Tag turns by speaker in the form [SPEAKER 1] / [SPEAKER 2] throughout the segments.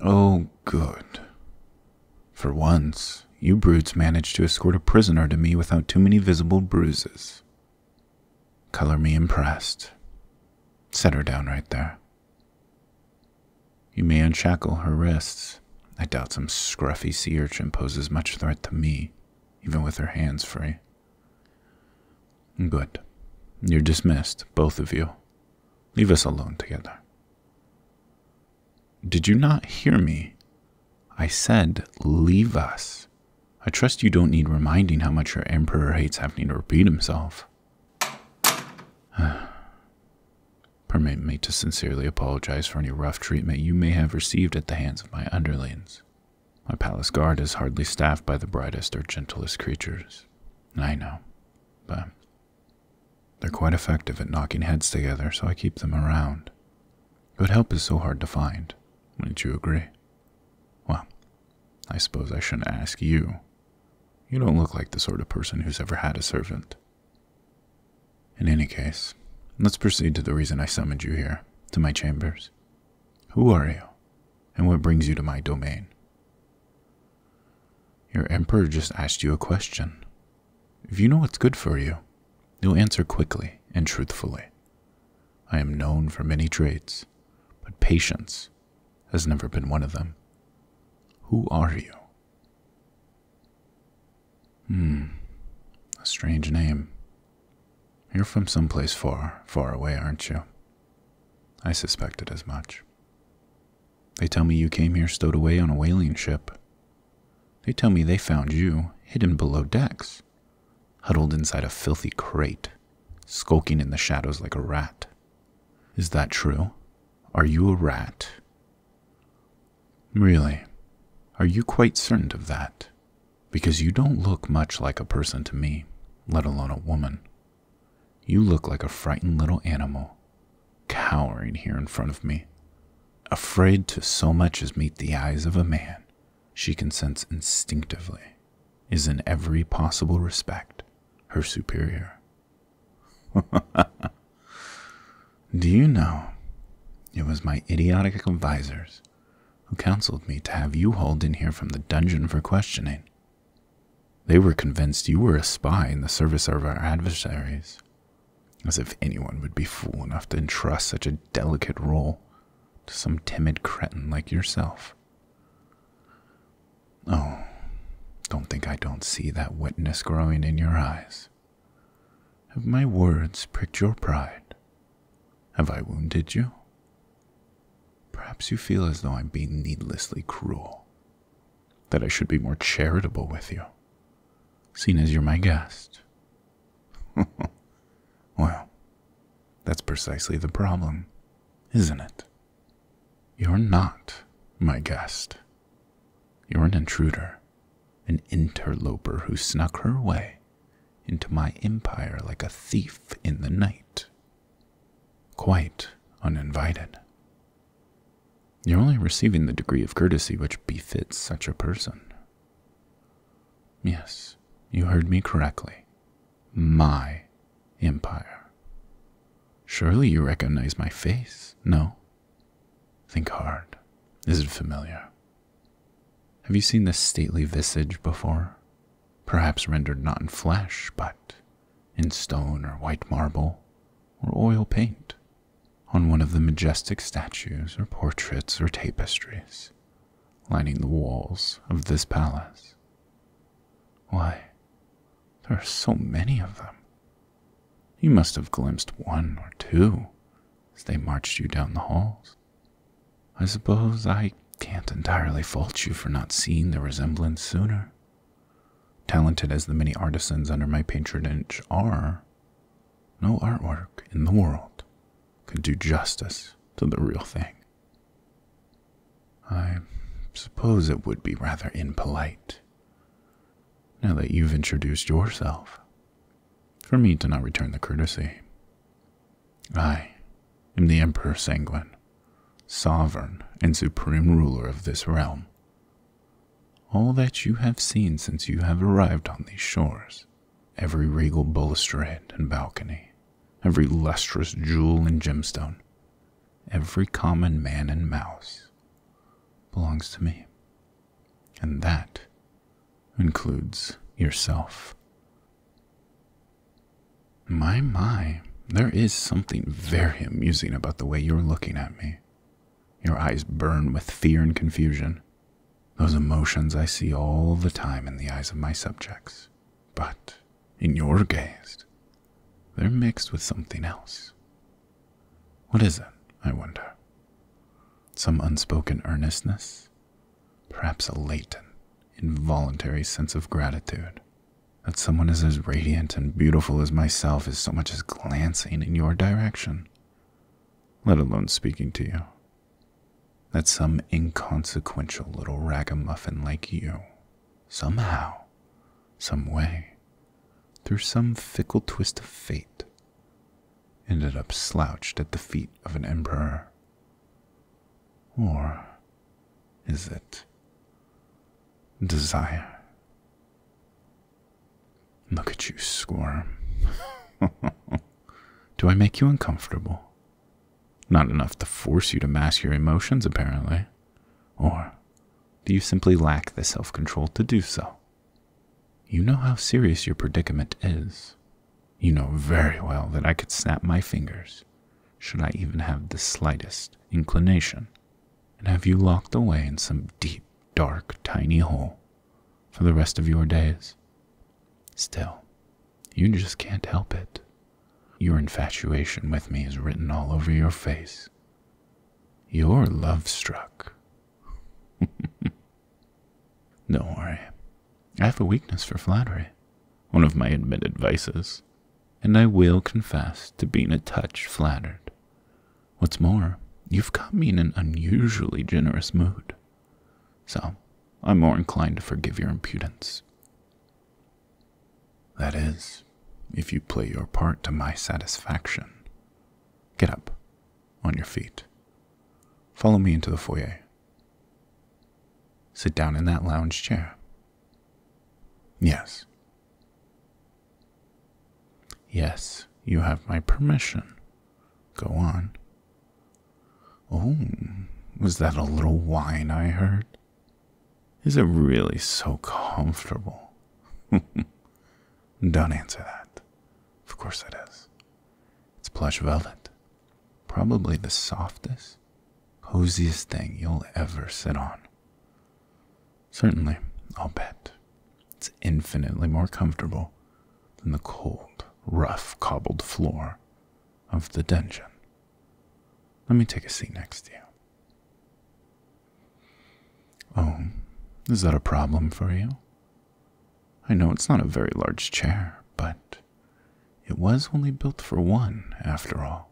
[SPEAKER 1] Oh, good. For once, you brutes managed to escort a prisoner to me without too many visible bruises. Color me impressed. Set her down right there. You may unshackle her wrists. I doubt some scruffy sea urchin poses much threat to me, even with her hands free. Good. You're dismissed, both of you. Leave us alone together. Did you not hear me? I said, leave us. I trust you don't need reminding how much your emperor hates having to repeat himself. Permit me to sincerely apologize for any rough treatment you may have received at the hands of my underlings. My palace guard is hardly staffed by the brightest or gentlest creatures. I know, but they're quite effective at knocking heads together, so I keep them around. Good help is so hard to find. Wouldn't you agree? Well, I suppose I shouldn't ask you. You don't look like the sort of person who's ever had a servant. In any case, let's proceed to the reason I summoned you here, to my chambers. Who are you, and what brings you to my domain? Your emperor just asked you a question. If you know what's good for you, you'll answer quickly and truthfully. I am known for many traits, but patience has never been one of them. Who are you? Hmm, a strange name. You're from some place far, far away, aren't you? I suspected as much. They tell me you came here stowed away on a whaling ship. They tell me they found you hidden below decks, huddled inside a filthy crate, skulking in the shadows like a rat. Is that true? Are you a rat? Really, are you quite certain of that? Because you don't look much like a person to me, let alone a woman. You look like a frightened little animal, cowering here in front of me, afraid to so much as meet the eyes of a man she consents instinctively is in every possible respect her superior. Do you know, it was my idiotic advisers who counseled me to have you hauled in here from the dungeon for questioning they were convinced you were a spy in the service of our adversaries, as if anyone would be fool enough to entrust such a delicate role to some timid cretin like yourself. Oh, don't think I don't see that wetness growing in your eyes. Have my words pricked your pride? Have I wounded you? Perhaps you feel as though I'm being needlessly cruel, that I should be more charitable with you, seeing as you're my guest. well, that's precisely the problem, isn't it? You're not my guest. You're an intruder, an interloper who snuck her way into my empire like a thief in the night quite uninvited. You're only receiving the degree of courtesy which befits such a person. Yes, you heard me correctly. My empire. Surely you recognize my face, no? Think hard. Is it familiar? Have you seen this stately visage before? perhaps rendered not in flesh, but in stone or white marble or oil paint on one of the majestic statues or portraits or tapestries lining the walls of this palace. Why, there are so many of them. You must have glimpsed one or two as they marched you down the halls. I suppose I can't entirely fault you for not seeing the resemblance sooner. Talented as the many artisans under my patronage are, no artwork in the world could do justice to the real thing. I suppose it would be rather impolite, now that you've introduced yourself, for me to not return the courtesy. I am the Emperor Sanguine, sovereign and supreme ruler of this realm. All that you have seen since you have arrived on these shores, every regal balustrade and balcony, every lustrous jewel and gemstone, every common man and mouse, belongs to me. And that includes yourself. My, my, there is something very amusing about the way you're looking at me. Your eyes burn with fear and confusion, those emotions I see all the time in the eyes of my subjects. But in your gaze, they're mixed with something else. What is it, I wonder? Some unspoken earnestness? Perhaps a latent, involuntary sense of gratitude that someone is as radiant and beautiful as myself is so much as glancing in your direction, let alone speaking to you. That some inconsequential little ragamuffin like you, somehow, some way, through some fickle twist of fate, ended up slouched at the feet of an emperor. Or is it desire? Look at you squirm. Do I make you uncomfortable? Not enough to force you to mask your emotions, apparently. Or do you simply lack the self control to do so? You know how serious your predicament is. You know very well that I could snap my fingers should I even have the slightest inclination and have you locked away in some deep, dark, tiny hole for the rest of your days. Still, you just can't help it. Your infatuation with me is written all over your face. You're love struck. No worry. I have a weakness for flattery, one of my admitted vices and I will confess to being a touch flattered. What's more, you've got me in an unusually generous mood, so I'm more inclined to forgive your impudence. That is, if you play your part to my satisfaction. Get up, on your feet. Follow me into the foyer. Sit down in that lounge chair. Yes, Yes, you have my permission. Go on. Oh, was that a little whine I heard? Is it really so comfortable? Don't answer that. Of course it is. It's plush velvet. Probably the softest, coziest thing you'll ever sit on. Certainly, I'll bet. It's infinitely more comfortable than the cold, rough, cobbled floor of the dungeon. Let me take a seat next to you. Oh, is that a problem for you? I know it's not a very large chair, but it was only built for one, after all.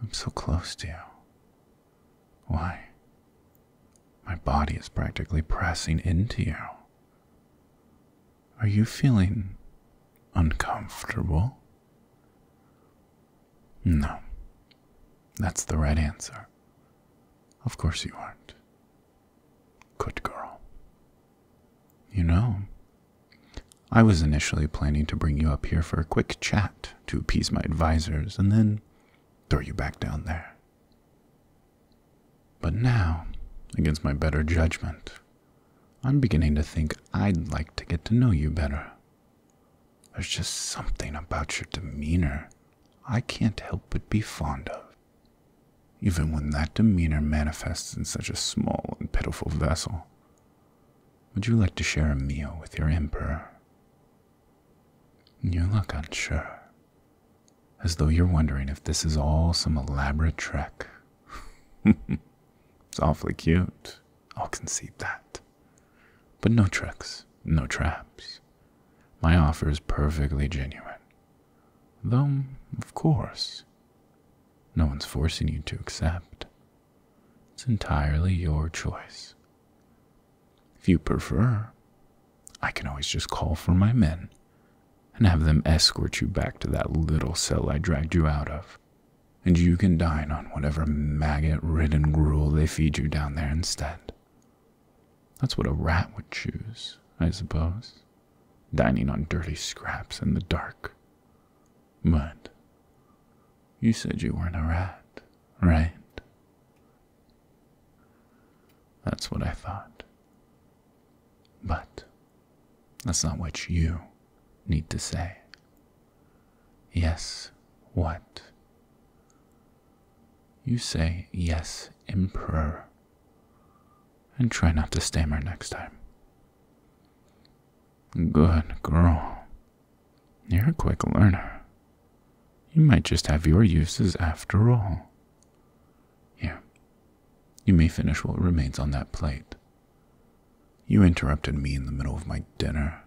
[SPEAKER 1] I'm so close to you. Why? My body is practically pressing into you. Are you feeling uncomfortable? No. That's the right answer. Of course you aren't. Good girl. You know, I was initially planning to bring you up here for a quick chat to appease my advisers and then throw you back down there. But now, against my better judgment, I'm beginning to think I'd like to get to know you better. There's just something about your demeanor I can't help but be fond of, even when that demeanor manifests in such a small and pitiful vessel. Would you like to share a meal with your emperor? You look unsure, as though you're wondering if this is all some elaborate trick. it's awfully cute, I'll concede that. But no tricks, no traps. My offer is perfectly genuine. Though, of course, no one's forcing you to accept. It's entirely your choice. If you prefer, I can always just call for my men and have them escort you back to that little cell I dragged you out of, and you can dine on whatever maggot ridden gruel they feed you down there instead. That's what a rat would choose, I suppose, dining on dirty scraps in the dark. But you said you weren't a rat, right? That's what I thought. But that's not what you need to say. Yes, what? You say yes, Emperor, and try not to stammer next time. Good girl. You're a quick learner. You might just have your uses after all. Here, you may finish what remains on that plate. You interrupted me in the middle of my dinner,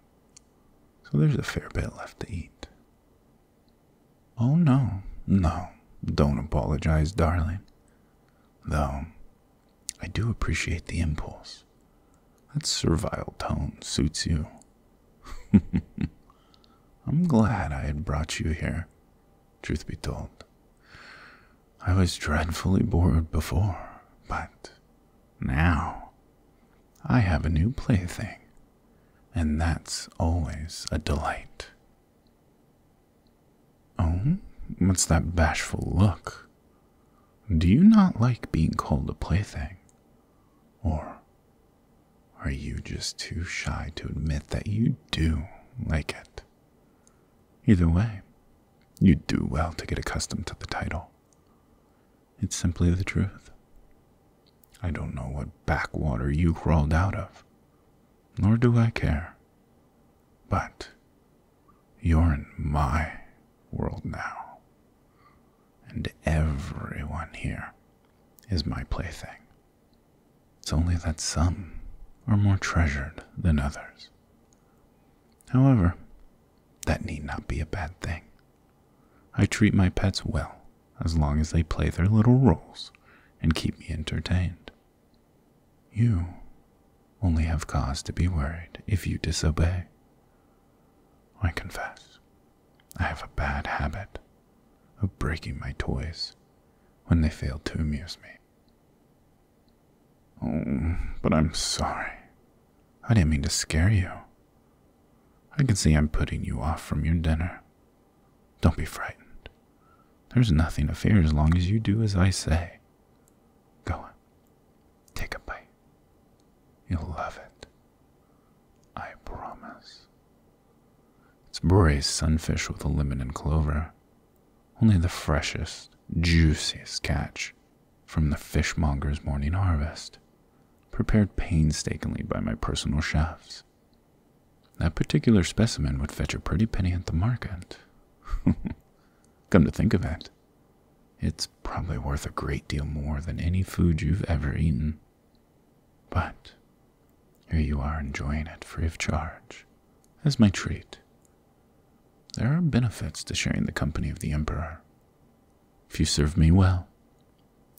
[SPEAKER 1] so there's a fair bit left to eat. Oh, no, no, don't apologize, darling. Though, I do appreciate the impulse. That servile tone suits you. I'm glad I had brought you here, truth be told. I was dreadfully bored before, but now I have a new plaything, and that's always a delight. Oh, what's that bashful look? Do you not like being called a plaything? Or are you just too shy to admit that you do like it? Either way, you would do well to get accustomed to the title. It's simply the truth. I don't know what backwater you crawled out of, nor do I care. But you're in my world now. And everyone here is my plaything. It's only that some are more treasured than others. However, that need not be a bad thing. I treat my pets well as long as they play their little roles and keep me entertained. You only have cause to be worried if you disobey. I confess, I have a bad habit of breaking my toys when they fail to amuse me. Oh, but I'm sorry. I didn't mean to scare you. I can see I'm putting you off from your dinner. Don't be frightened. There's nothing to fear as long as you do as I say. Go on, take a bite. You'll love it. I promise. It's Bore's sunfish with a lemon and clover. Only the freshest, juiciest catch from the fishmonger's morning harvest, prepared painstakingly by my personal chefs. That particular specimen would fetch a pretty penny at the market. Come to think of it, it's probably worth a great deal more than any food you've ever eaten. But here you are enjoying it free of charge as my treat. There are benefits to sharing the company of the Emperor. If you serve me well,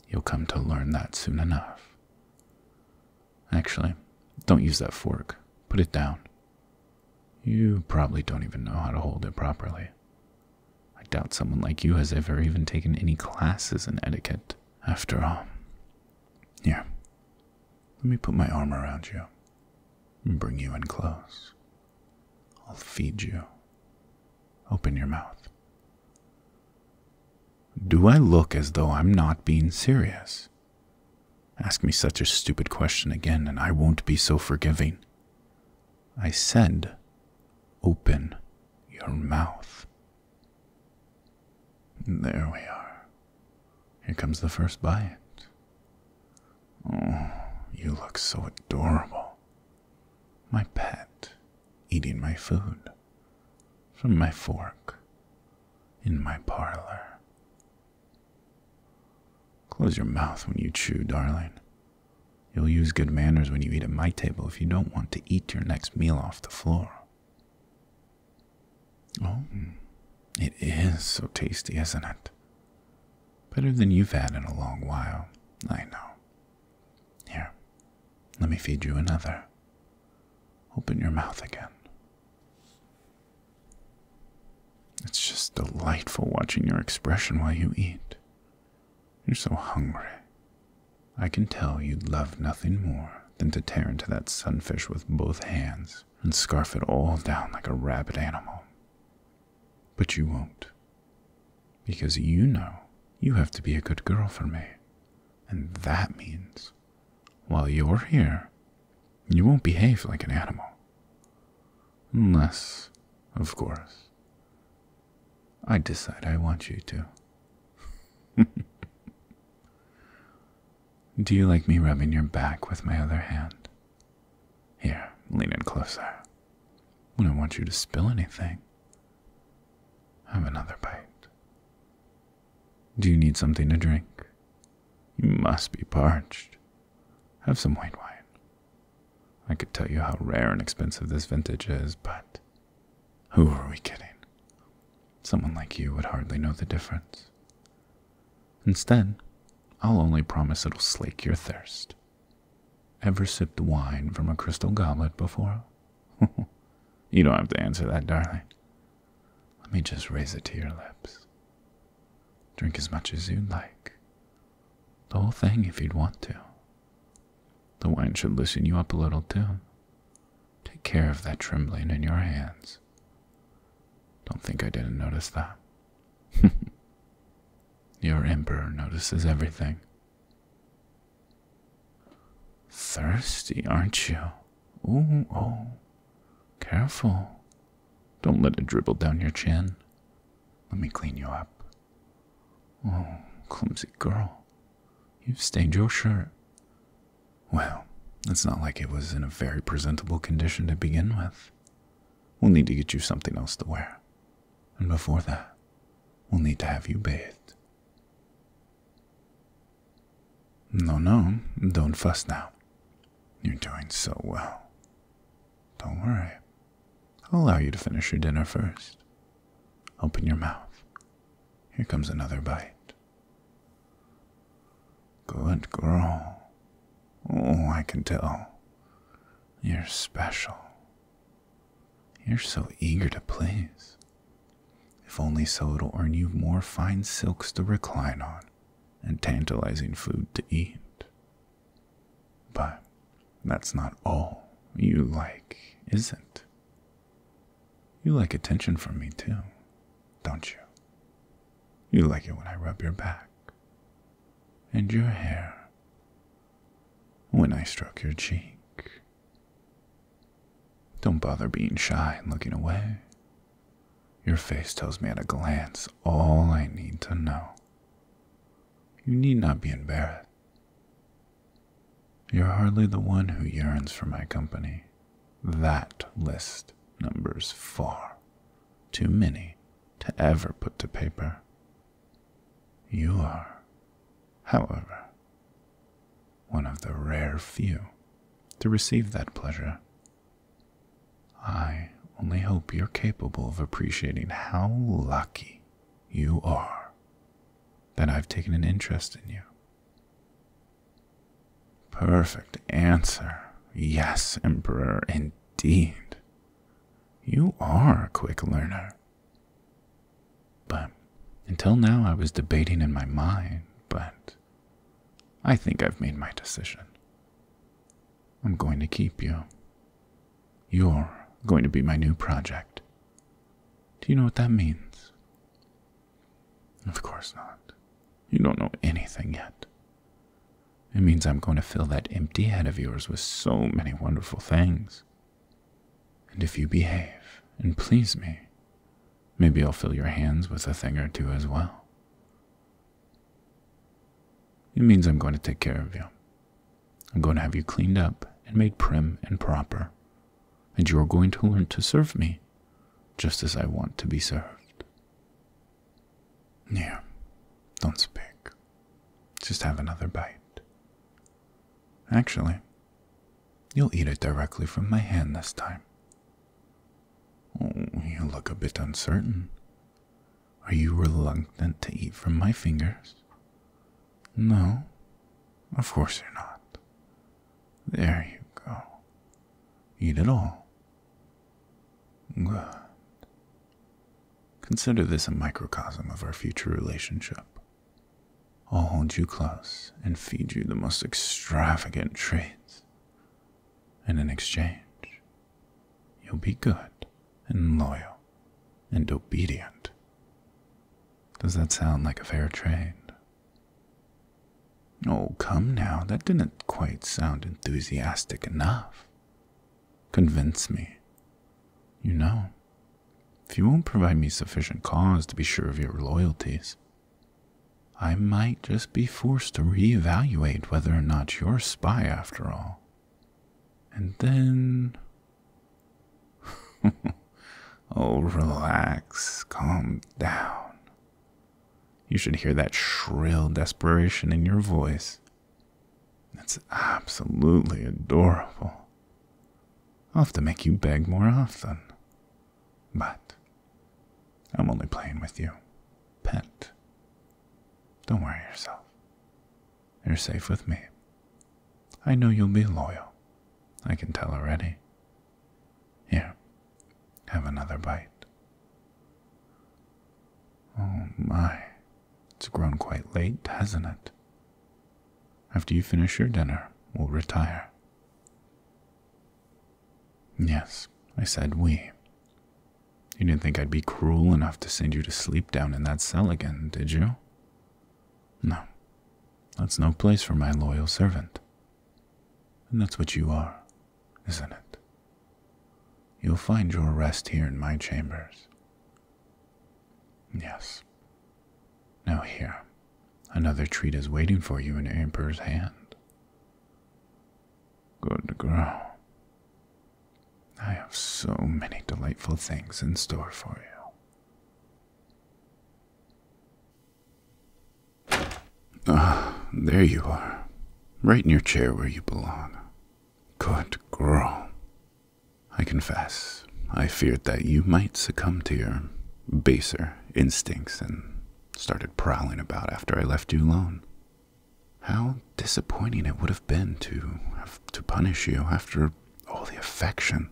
[SPEAKER 1] you'll come to learn that soon enough. Actually, don't use that fork. Put it down. You probably don't even know how to hold it properly. I doubt someone like you has ever even taken any classes in etiquette, after all. Here, let me put my arm around you and bring you in close. I'll feed you. Open your mouth. Do I look as though I'm not being serious? Ask me such a stupid question again, and I won't be so forgiving. I said, Open your mouth. There we are. Here comes the first bite. Oh, you look so adorable. My pet, eating my food. From my fork, in my parlor. Close your mouth when you chew, darling. You'll use good manners when you eat at my table if you don't want to eat your next meal off the floor. Oh, mm. it is so tasty, isn't it? Better than you've had in a long while, I know. Here, let me feed you another. Open your mouth again. It's just delightful watching your expression while you eat. You're so hungry. I can tell you'd love nothing more than to tear into that sunfish with both hands and scarf it all down like a rabid animal. But you won't. Because you know you have to be a good girl for me. And that means, while you're here, you won't behave like an animal. Unless, of course, I decide I want you to. Do you like me rubbing your back with my other hand? Here, lean in closer. I don't want you to spill anything. Have another bite. Do you need something to drink? You must be parched. Have some white wine. I could tell you how rare and expensive this vintage is, but who are we kidding? Someone like you would hardly know the difference. Instead, I'll only promise it'll slake your thirst. Ever sipped wine from a crystal goblet before? you don't have to answer that, darling. Let me just raise it to your lips. Drink as much as you'd like. The whole thing if you'd want to. The wine should loosen you up a little, too. Take care of that trembling in your hands. Don't think I didn't notice that. your emperor notices everything. Thirsty, aren't you? Oh, oh. Careful. Don't let it dribble down your chin. Let me clean you up. Oh, clumsy girl, you've stained your shirt. Well, it's not like it was in a very presentable condition to begin with. We'll need to get you something else to wear. And before that, we'll need to have you bathed. No, no, don't fuss now. You're doing so well. Don't worry, I'll allow you to finish your dinner first. Open your mouth. Here comes another bite. Good girl. Oh, I can tell. You're special. You're so eager to please. If only so, it'll earn you more fine silks to recline on and tantalizing food to eat. But that's not all you like, is it? You like attention from me too, don't you? You like it when I rub your back and your hair, when I stroke your cheek. Don't bother being shy and looking away. Your face tells me at a glance all I need to know. You need not be embarrassed. You're hardly the one who yearns for my company. That list numbers far too many to ever put to paper. You are, however, one of the rare few to receive that pleasure. I only hope you're capable of appreciating how lucky you are, that I've taken an interest in you. Perfect answer. Yes, Emperor, indeed. You are a quick learner. But until now, I was debating in my mind, but I think I've made my decision. I'm going to keep you. You're going to be my new project. Do you know what that means? Of course not. You don't know anything yet. It means I'm going to fill that empty head of yours with so many wonderful things. And if you behave and please me, maybe I'll fill your hands with a thing or two as well. It means I'm going to take care of you, I'm going to have you cleaned up and made prim and proper, and you are going to learn to serve me just as I want to be served. Yeah, don't speak. Just have another bite. Actually, you'll eat it directly from my hand this time. Oh, you look a bit uncertain. Are you reluctant to eat from my fingers? No, of course you're not. There you go. Eat it all. Good. Consider this a microcosm of our future relationship. I'll hold you close and feed you the most extravagant treats. And in exchange, you'll be good and loyal and obedient. Does that sound like a fair trade? Oh, come now, that didn't quite sound enthusiastic enough. Convince me. You know, if you won't provide me sufficient cause to be sure of your loyalties, I might just be forced to reevaluate whether or not you're a spy after all. And then oh, relax. Calm down. You should hear that shrill desperation in your voice. It's absolutely adorable. I'll have to make you beg more often. But I'm only playing with you, pet. Don't worry yourself. You're safe with me. I know you'll be loyal. I can tell already. Here, have another bite. Oh my, it's grown quite late, hasn't it? After you finish your dinner, we'll retire. Yes, I said we. You didn't think I'd be cruel enough to send you to sleep down in that cell again, did you? No, that's no place for my loyal servant. And that's what you are, isn't it? You'll find your rest here in my chambers. Yes. Now, here, another treat is waiting for you in Emperor's hand. Good girl. I have so many delightful things in store for you. Ah, there you are. Right in your chair where you belong. Good girl. I confess, I feared that you might succumb to your baser instincts and started prowling about after I left you alone. How disappointing it would have been to to punish you after all the affection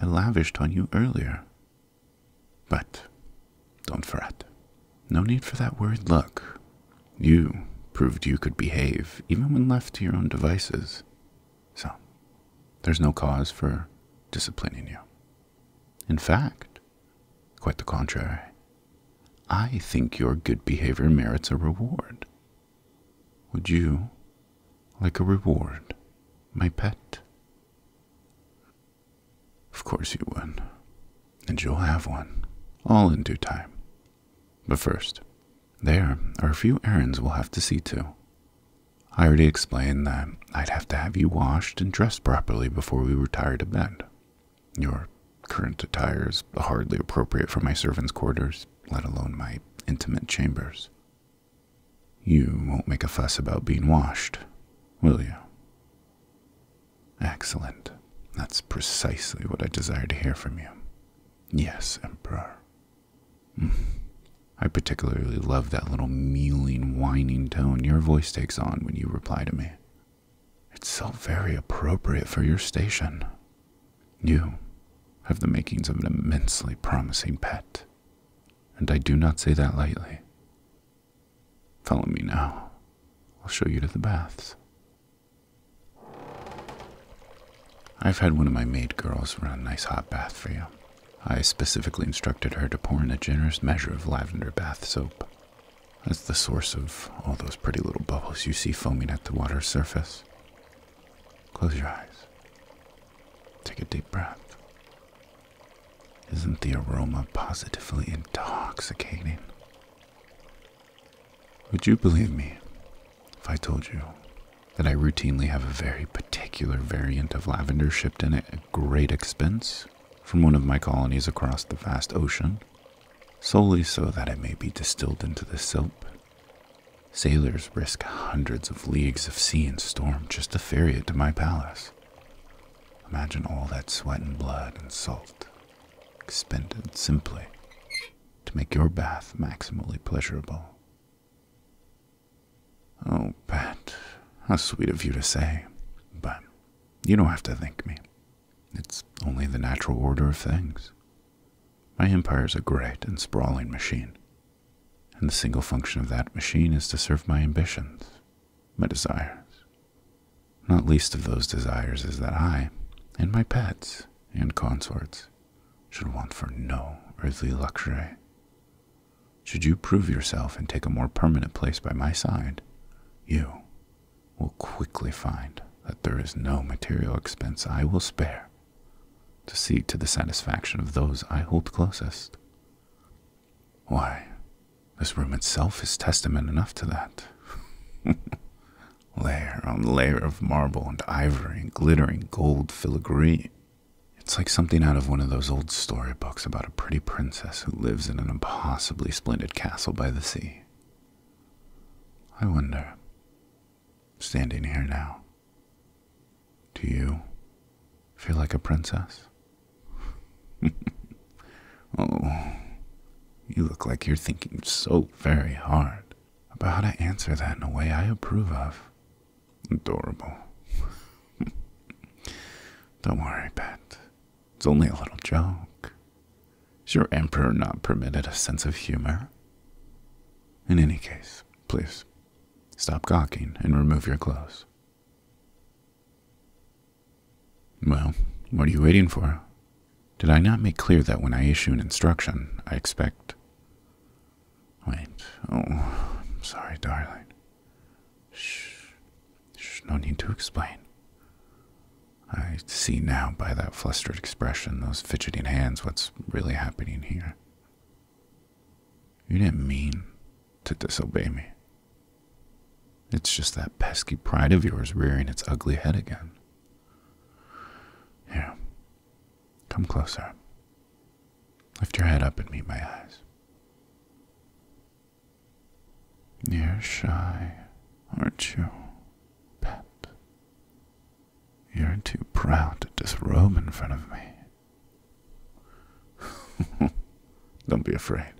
[SPEAKER 1] I lavished on you earlier. But don't fret. No need for that worried look. You proved you could behave even when left to your own devices. So, there's no cause for disciplining you. In fact, quite the contrary. I think your good behavior merits a reward. Would you like a reward, my pet? Of course you would, and you'll have one, all in due time. But first, there are a few errands we'll have to see to. I already explained that I'd have to have you washed and dressed properly before we retired to bed. Your current attire is hardly appropriate for my servants' quarters, let alone my intimate chambers. You won't make a fuss about being washed, will you? Excellent. That's precisely what I desire to hear from you. Yes, Emperor. Mm. I particularly love that little mealing, whining tone your voice takes on when you reply to me. It's so very appropriate for your station. You have the makings of an immensely promising pet and I do not say that lightly. Follow me now. I'll show you to the baths. I've had one of my maid girls run a nice hot bath for you. I specifically instructed her to pour in a generous measure of lavender bath soap. That's the source of all those pretty little bubbles you see foaming at the water's surface. Close your eyes. Take a deep breath. Isn't the aroma positively intoxicating? Would you believe me if I told you that I routinely have a very particular variant of lavender shipped in at great expense from one of my colonies across the vast ocean, solely so that it may be distilled into the soap Sailors risk hundreds of leagues of sea in storm just to ferry it to my palace. Imagine all that sweat and blood and salt expended simply to make your bath maximally pleasurable. Oh, Pat, how sweet of you to say, but you don't have to thank me. It's only the natural order of things. My empire's a great and sprawling machine, and the single function of that machine is to serve my ambitions, my desires. Not least of those desires is that I, and my pets and consorts, should want for no earthly luxury. Should you prove yourself and take a more permanent place by my side, you will quickly find that there is no material expense I will spare to see to the satisfaction of those I hold closest. Why, this room itself is testament enough to that. layer on layer of marble and ivory and glittering gold filigree. It's like something out of one of those old storybooks about a pretty princess who lives in an impossibly splendid castle by the sea. I wonder, standing here now, do you feel like a princess? oh, you look like you're thinking so very hard about how to answer that in a way I approve of. Adorable. Don't worry, Pet. It's only a little joke. Is your emperor not permitted a sense of humor? In any case, please Stop gawking and remove your clothes. Well, what are you waiting for? Did I not make clear that when I issue an instruction, I expect. Wait. Oh, I'm sorry, darling. Shh. Shh. No need to explain. I see now by that flustered expression, those fidgeting hands, what's really happening here. You didn't mean to disobey me. It's just that pesky pride of yours rearing its ugly head again. Here, come closer. Lift your head up and meet my eyes. You're shy, aren't you, pet? You're too proud to just roam in front of me. Don't be afraid.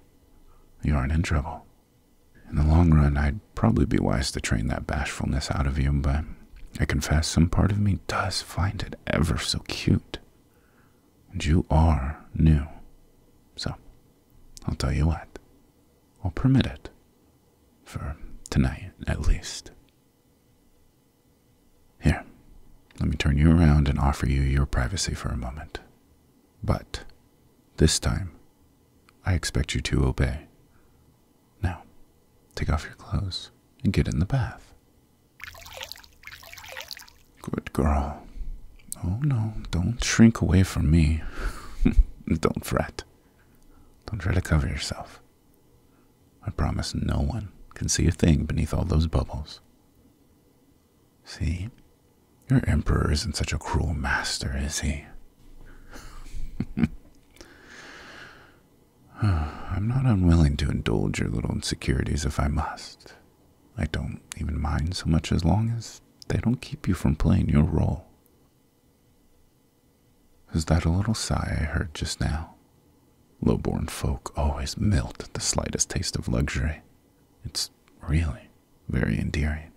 [SPEAKER 1] You aren't in trouble. In the long run, I'd probably be wise to train that bashfulness out of you, but I confess some part of me does find it ever so cute. And you are new. So, I'll tell you what, I'll permit it. For tonight, at least. Here, let me turn you around and offer you your privacy for a moment. But this time, I expect you to obey. Now, take off your clothes and get in the bath. Good girl. Oh no, don't shrink away from me. don't fret. Don't try to cover yourself. I promise no one can see a thing beneath all those bubbles. See? Your emperor isn't such a cruel master, is he? I'm not unwilling to indulge your little insecurities if I must. I don't even mind so much as long as they don't keep you from playing your role. Is that a little sigh I heard just now? Low-born folk always melt at the slightest taste of luxury. It's really very endearing.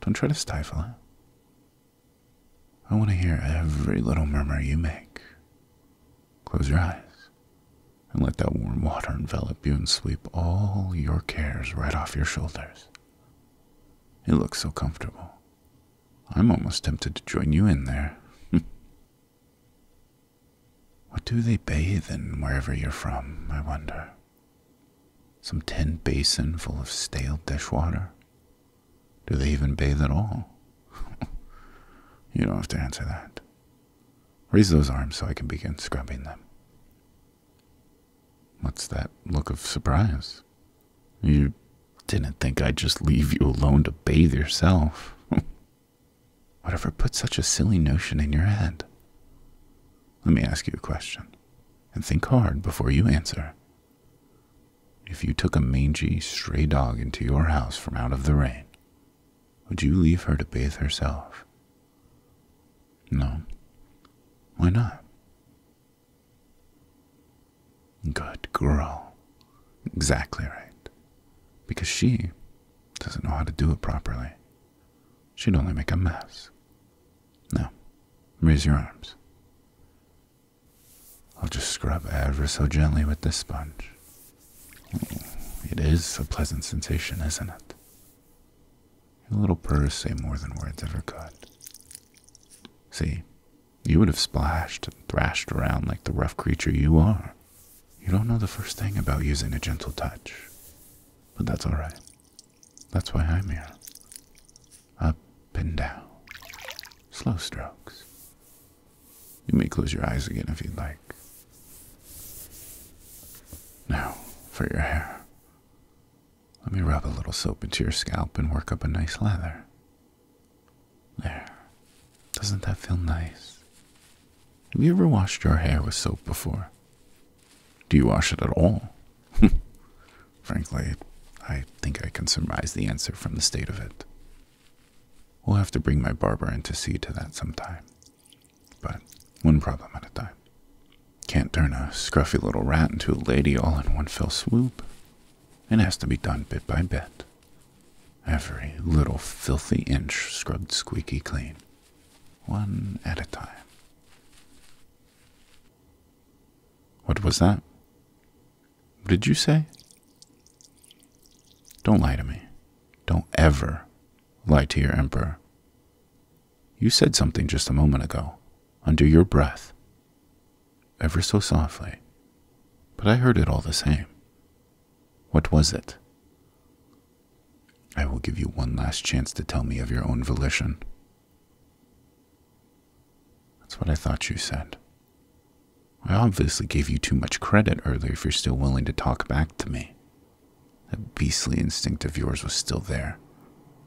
[SPEAKER 1] Don't try to stifle it. I want to hear every little murmur you make. Close your eyes and let that warm water envelop you and sweep all your cares right off your shoulders. It looks so comfortable. I'm almost tempted to join you in there. What do they bathe in wherever you're from, I wonder? Some tin basin full of stale dishwater? Do they even bathe at all? you don't have to answer that. Raise those arms so I can begin scrubbing them. What's that look of surprise? You didn't think I'd just leave you alone to bathe yourself. Whatever put such a silly notion in your head? Let me ask you a question, and think hard before you answer. If you took a mangy, stray dog into your house from out of the rain, would you leave her to bathe herself? No. Why not? Good girl. Exactly right. Because she doesn't know how to do it properly. She'd only make a mess. Now, raise your arms. I'll just scrub ever so gently with this sponge. It is a pleasant sensation, isn't it? Your little purrs say more than words ever could. See, you would have splashed and thrashed around like the rough creature you are you don't know the first thing about using a gentle touch, but that's alright. That's why I'm here. Up and down. Slow strokes. You may close your eyes again if you'd like. Now, for your hair. Let me rub a little soap into your scalp and work up a nice lather. There. Doesn't that feel nice? Have you ever washed your hair with soap before? Do you wash it at all? Frankly, I think I can surmise the answer from the state of it. We'll have to bring my barber in to see to that sometime. But one problem at a time. Can't turn a scruffy little rat into a lady all in one fell swoop. It has to be done bit by bit. Every little filthy inch scrubbed squeaky clean, one at a time. What was that? What did you say? Don't lie to me. Don't ever lie to your emperor. You said something just a moment ago, under your breath, ever so softly, but I heard it all the same. What was it? I will give you one last chance to tell me of your own volition. That's what I thought you said. I obviously gave you too much credit earlier if you're still willing to talk back to me. That beastly instinct of yours was still there,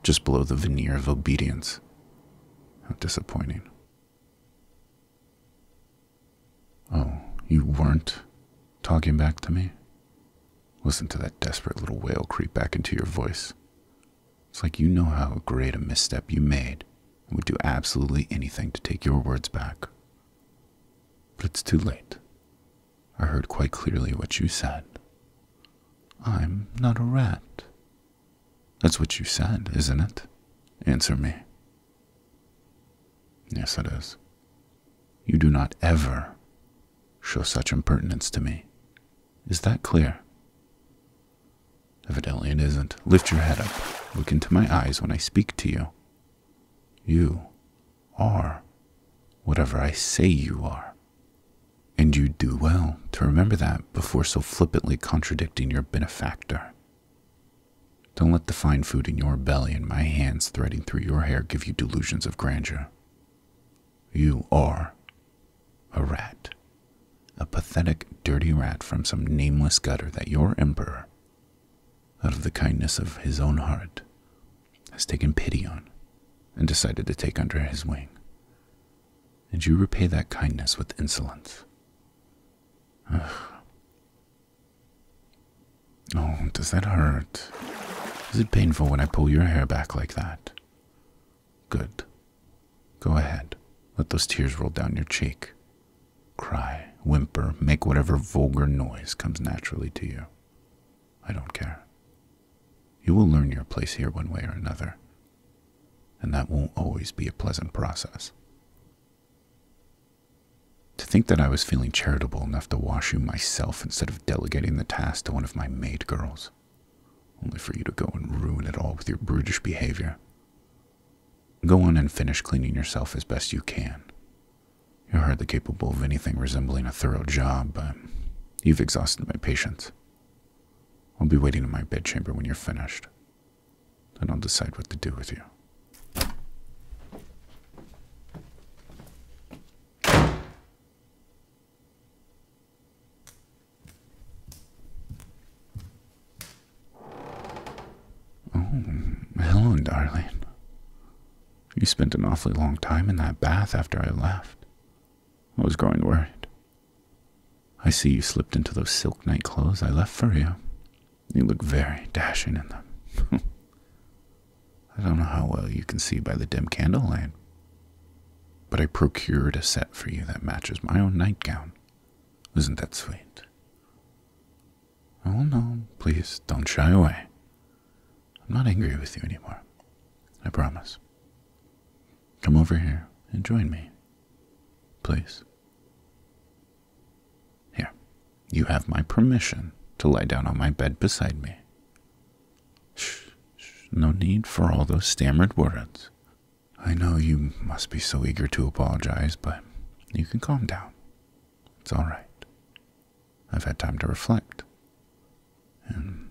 [SPEAKER 1] just below the veneer of obedience. How disappointing. Oh, you weren't talking back to me? Listen to that desperate little wail creep back into your voice. It's like you know how great a misstep you made and would do absolutely anything to take your words back. But it's too late. I heard quite clearly what you said. I'm not a rat. That's what you said, isn't it? Answer me. Yes, it is. You do not ever show such impertinence to me. Is that clear? Evidently it isn't. Lift your head up. Look into my eyes when I speak to you. You are whatever I say you are. And you do well to remember that before so flippantly contradicting your benefactor. Don't let the fine food in your belly and my hands threading through your hair give you delusions of grandeur. You are a rat. A pathetic, dirty rat from some nameless gutter that your emperor, out of the kindness of his own heart, has taken pity on and decided to take under his wing. And you repay that kindness with insolence. Ugh. Oh, does that hurt? Is it painful when I pull your hair back like that? Good. Go ahead. Let those tears roll down your cheek. Cry, whimper, make whatever vulgar noise comes naturally to you. I don't care. You will learn your place here one way or another, and that won't always be a pleasant process. To think that I was feeling charitable enough to wash you myself instead of delegating the task to one of my maid girls, only for you to go and ruin it all with your brutish behavior. Go on and finish cleaning yourself as best you can. You're hardly capable of anything resembling a thorough job, but you've exhausted my patience. I'll be waiting in my bedchamber when you're finished, and I'll decide what to do with you. Oh, hello, darling. You spent an awfully long time in that bath after I left. I was growing worried. I see you slipped into those silk nightclothes I left for you. You look very dashing in them. I don't know how well you can see by the dim candlelight, but I procured a set for you that matches my own nightgown. Isn't that sweet? Oh no, please don't shy away. I'm not angry with you anymore. I promise. Come over here and join me, please. Here, you have my permission to lie down on my bed beside me. Shh, shh, no need for all those stammered words. I know you must be so eager to apologize, but you can calm down. It's all right. I've had time to reflect. And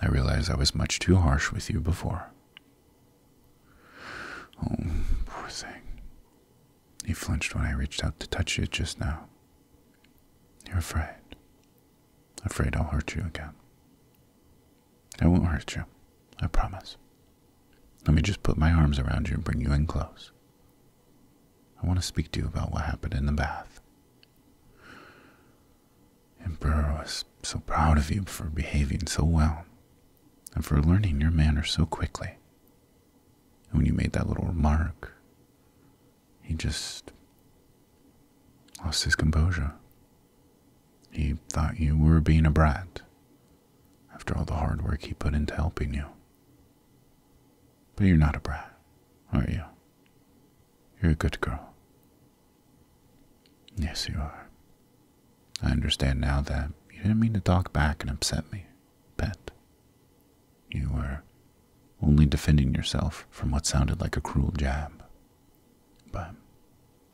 [SPEAKER 1] I realize I was much too harsh with you before. Oh, poor thing. He flinched when I reached out to touch it just now. You're afraid. Afraid I'll hurt you again. I won't hurt you. I promise. Let me just put my arms around you and bring you in close. I want to speak to you about what happened in the bath. Emperor was so proud of you for behaving so well and for learning your manners so quickly. And when you made that little remark, he just lost his composure. He thought you were being a brat after all the hard work he put into helping you. But you're not a brat, are you? You're a good girl. Yes, you are. I understand now that you didn't mean to talk back and upset me pet. You were only defending yourself from what sounded like a cruel jab. But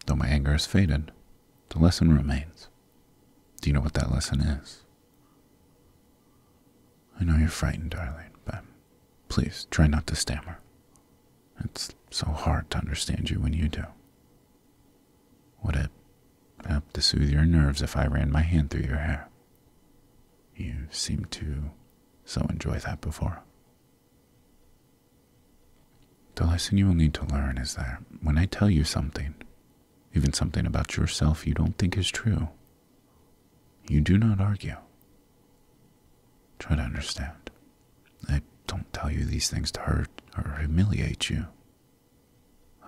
[SPEAKER 1] though my anger has faded, the lesson remains. Do you know what that lesson is? I know you're frightened, darling, but please try not to stammer. It's so hard to understand you when you do. Would it help to soothe your nerves if I ran my hand through your hair? You seemed to so enjoy that before. The lesson you will need to learn is that when I tell you something, even something about yourself you don't think is true, you do not argue. Try to understand. I don't tell you these things to hurt or humiliate you.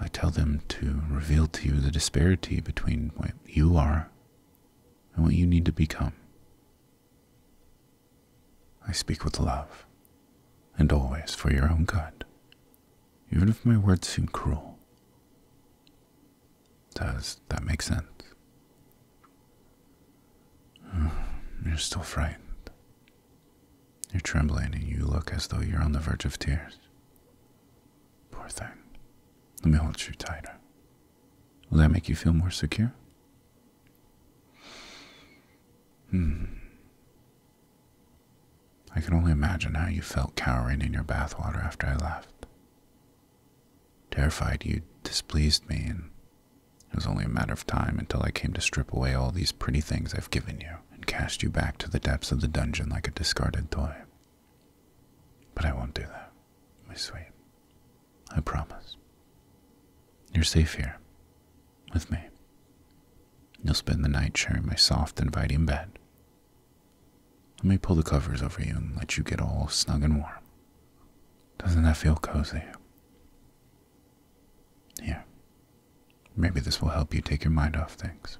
[SPEAKER 1] I tell them to reveal to you the disparity between you are and what you need to become. I speak with love and always for your own good, even if my words seem cruel. Does that make sense? You're still frightened. You're trembling and you look as though you're on the verge of tears. Poor thing. Let me hold you tighter. Will that make you feel more secure? Hmm. I can only imagine how you felt cowering in your bathwater after I left. Terrified you displeased me, and it was only a matter of time until I came to strip away all these pretty things I've given you and cast you back to the depths of the dungeon like a discarded toy. But I won't do that, my sweet. I promise. You're safe here, with me. You'll spend the night sharing my soft, inviting bed. Let me pull the covers over you and let you get all snug and warm. Doesn't that feel cozy? Here. Maybe this will help you take your mind off things.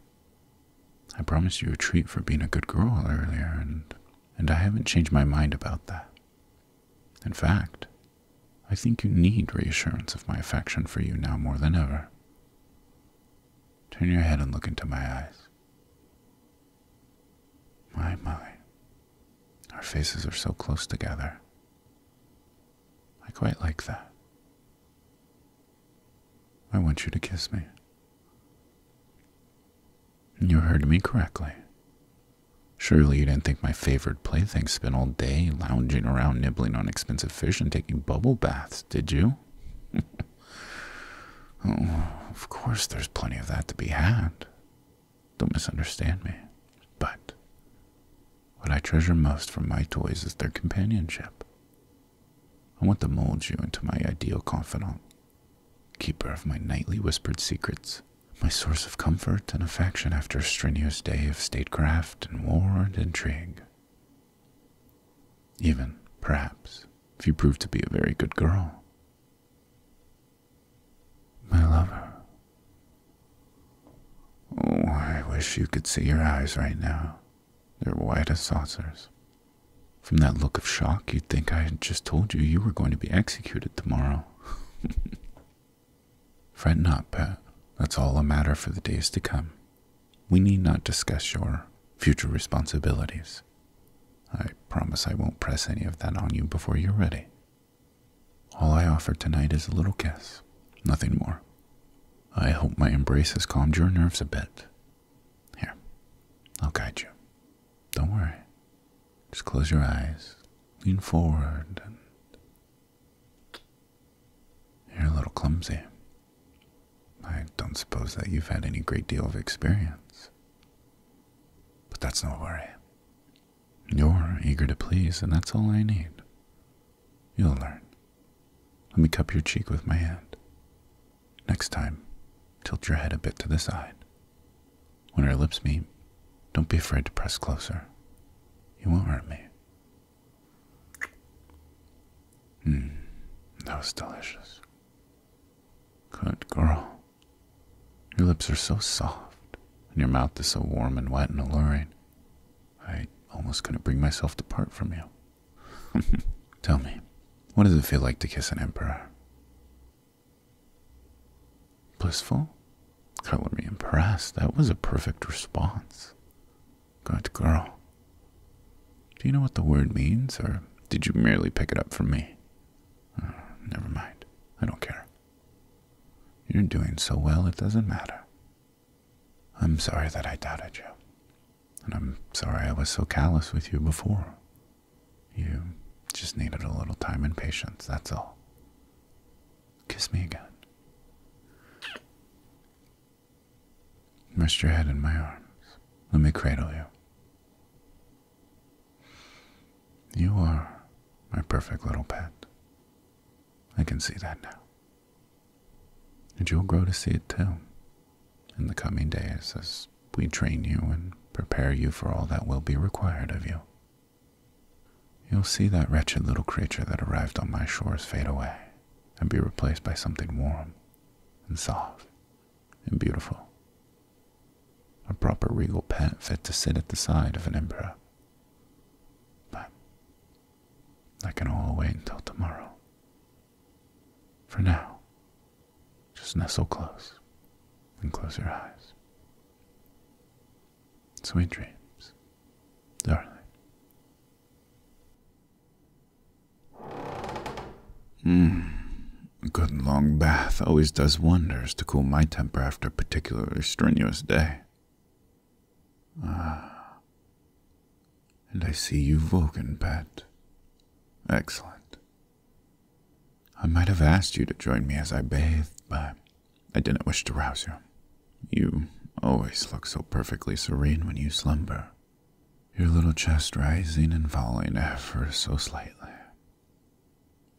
[SPEAKER 1] I promised you a treat for being a good girl earlier, and, and I haven't changed my mind about that. In fact, I think you need reassurance of my affection for you now more than ever. Turn your head and look into my eyes. My, my. Our faces are so close together. I quite like that. I want you to kiss me. You heard me correctly. Surely you didn't think my favorite playthings spent all day lounging around nibbling on expensive fish and taking bubble baths, did you? Oh, of course there's plenty of that to be had. Don't misunderstand me. But what I treasure most from my toys is their companionship. I want to mold you into my ideal confidant, keeper of my nightly whispered secrets, my source of comfort and affection after a strenuous day of statecraft and war and intrigue. Even, perhaps, if you prove to be a very good girl. My lover. Oh, I wish you could see your eyes right now. They're white as saucers, from that look of shock, you'd think I had just told you you were going to be executed tomorrow. Fret not, Pat. That's all a matter for the days to come. We need not discuss your future responsibilities. I promise I won't press any of that on you before you're ready. All I offer tonight is a little kiss, nothing more. I hope my embrace has calmed your nerves a bit, here, I'll guide you. Don't worry. Just close your eyes, lean forward, and you're a little clumsy. I don't suppose that you've had any great deal of experience. But that's no worry. You're eager to please, and that's all I need. You'll learn. Let me cup your cheek with my hand. Next time, tilt your head a bit to the side. When our lips meet, don't be afraid to press closer. You won't hurt me. Mmm, that was delicious. Good girl. Your lips are so soft, and your mouth is so warm and wet and alluring. I almost couldn't bring myself to part from you. Tell me, what does it feel like to kiss an emperor? Blissful? Color me impressed. That was a perfect response. Good girl. Do you know what the word means, or did you merely pick it up from me? Uh, never mind. I don't care. You're doing so well, it doesn't matter. I'm sorry that I doubted you, and I'm sorry I was so callous with you before. You just needed a little time and patience, that's all. Kiss me again. Rest your head in my arms. Let me cradle you. You are my perfect little pet. I can see that now. And you'll grow to see it too in the coming days as we train you and prepare you for all that will be required of you. You'll see that wretched little creature that arrived on my shores fade away and be replaced by something warm and soft and beautiful. A proper regal pet fit to sit at the side of an emperor. But that can all wait until tomorrow. For now, just nestle close and close your eyes. Sweet dreams, darling. a hmm. good long bath always does wonders to cool my temper after a particularly strenuous day. Ah, and I see you've woken, pet. Excellent. I might have asked you to join me as I bathed, but I didn't wish to rouse you. You always look so perfectly serene when you slumber, your little chest rising and falling ever so slightly.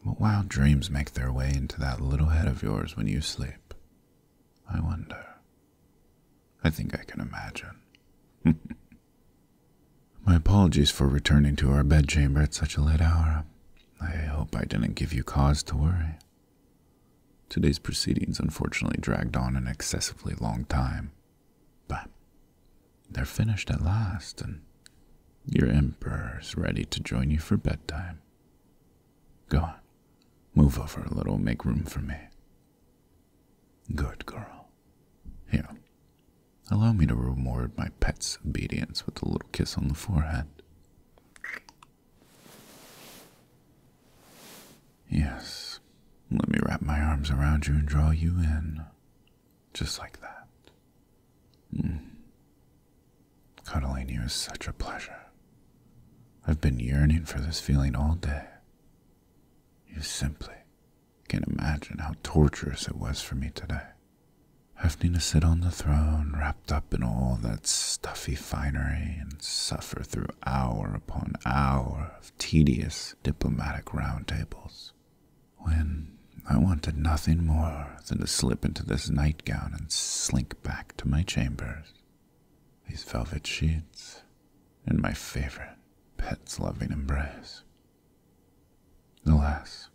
[SPEAKER 1] What wild dreams make their way into that little head of yours when you sleep? I wonder. I think I can imagine. My apologies for returning to our bedchamber at such a late hour. I hope I didn't give you cause to worry. Today's proceedings unfortunately dragged on an excessively long time, but they're finished at last, and your emperor's ready to join you for bedtime. Go on, move over a little, make room for me. Good girl. Here, Allow me to reward my pet's obedience with a little kiss on the forehead. Yes, let me wrap my arms around you and draw you in. Just like that. Mm. Cuddling you is such a pleasure. I've been yearning for this feeling all day. You simply can't imagine how torturous it was for me today. Having to sit on the throne, wrapped up in all that stuffy finery, and suffer through hour upon hour of tedious diplomatic roundtables, when I wanted nothing more than to slip into this nightgown and slink back to my chambers. These velvet sheets, and my favorite pet's loving embrace. Alas,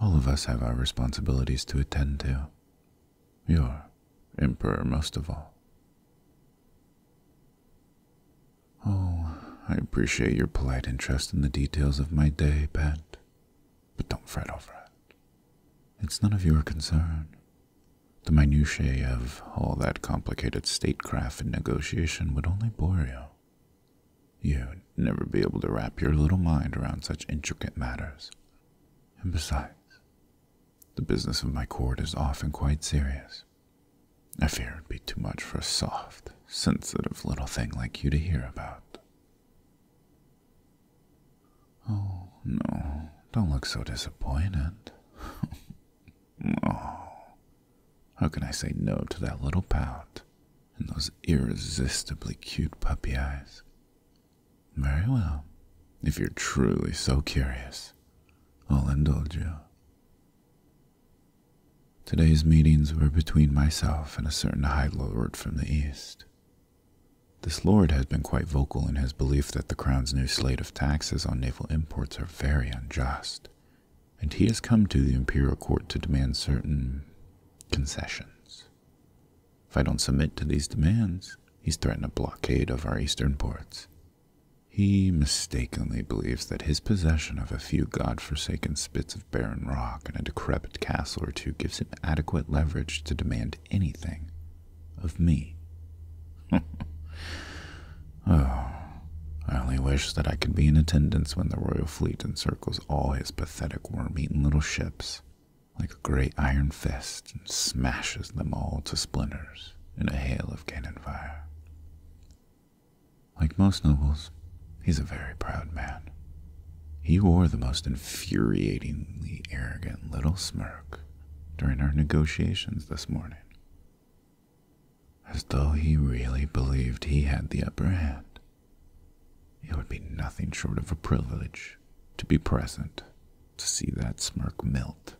[SPEAKER 1] all of us have our responsibilities to attend to, You're emperor most of all. Oh, I appreciate your polite interest in the details of my day, Pat, but don't fret over it. It's none of your concern. The minutiae of all that complicated statecraft and negotiation would only bore you. You'd never be able to wrap your little mind around such intricate matters. And besides, the business of my court is often quite serious. I fear it'd be too much for a soft, sensitive little thing like you to hear about. Oh, no, don't look so disappointed. oh, how can I say no to that little pout and those irresistibly cute puppy eyes? Very well, if you're truly so curious, I'll indulge you. Today's meetings were between myself and a certain high lord from the east. This lord has been quite vocal in his belief that the crown's new slate of taxes on naval imports are very unjust and he has come to the imperial court to demand certain concessions. If I don't submit to these demands, he threatens a blockade of our eastern ports. He mistakenly believes that his possession of a few god-forsaken spits of barren rock and a decrepit castle or two gives him adequate leverage to demand anything of me. oh, I only wish that I could be in attendance when the royal fleet and circles all his pathetic worm-eaten little ships like a great iron fist and smashes them all to splinters in a hail of cannon fire. Like most nobles, he's a very proud man. He wore the most infuriatingly arrogant little smirk during our negotiations this morning as though he really believed he had the upper hand. It would be nothing short of a privilege to be present, to see that smirk melt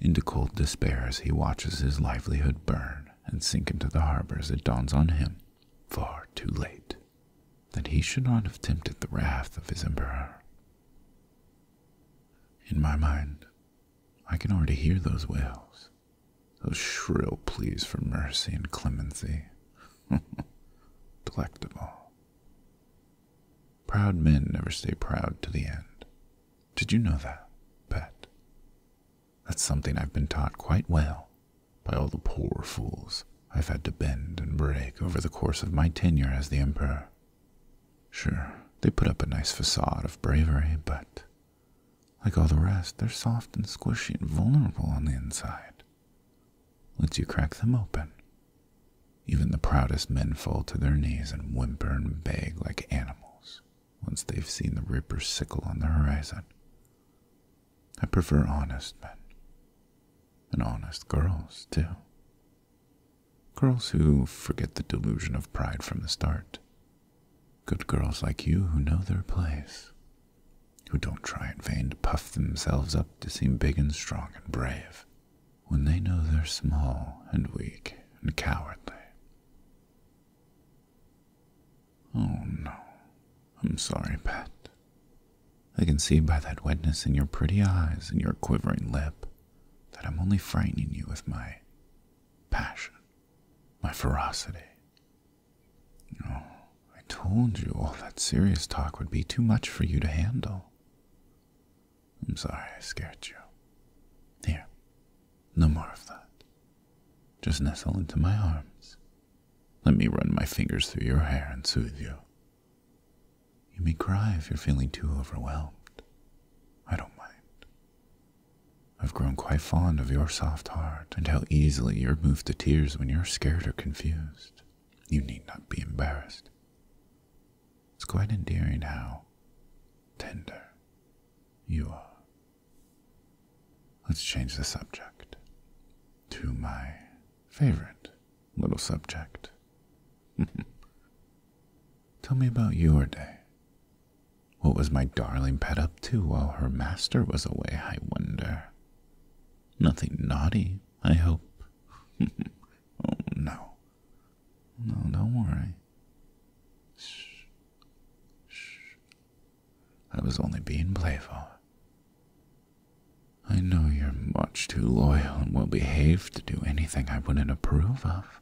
[SPEAKER 1] into cold despair as he watches his livelihood burn and sink into the harbor as it dawns on him, far too late, that he should not have tempted the wrath of his emperor. In my mind, I can already hear those wails those shrill pleas for mercy and clemency. Delectable. Proud men never stay proud to the end. Did you know that, Pet? That's something I've been taught quite well by all the poor fools I've had to bend and break over the course of my tenure as the Emperor. Sure, they put up a nice facade of bravery, but like all the rest, they're soft and squishy and vulnerable on the inside. Once you crack them open, even the proudest men fall to their knees and whimper and beg like animals once they've seen the Reaper's sickle on the horizon. I prefer honest men. And honest girls, too. Girls who forget the delusion of pride from the start Good girls like you who know their place, who don't try in vain to puff themselves up to seem big and strong and brave, when they know they're small and weak and cowardly. Oh no, I'm sorry, Pat. I can see by that wetness in your pretty eyes and your quivering lip that I'm only frightening you with my passion, my ferocity, Oh, I told you all that serious talk would be too much for you to handle. I'm sorry I scared you. Here, no more of that. Just nestle into my arms. Let me run my fingers through your hair and soothe you. You may cry if you're feeling too overwhelmed. I don't mind. I've grown quite fond of your soft heart and how easily you're moved to tears when you're scared or confused. You need not be embarrassed. It's quite endearing how tender you are. Let's change the subject to my favorite little subject. Tell me about your day. What was my darling pet up to while her master was away, I wonder? Nothing naughty, I hope. oh, no. No, don't worry. Shh. Shh. I was only being playful. I know you're much too loyal and well behaved to do anything I wouldn't approve of.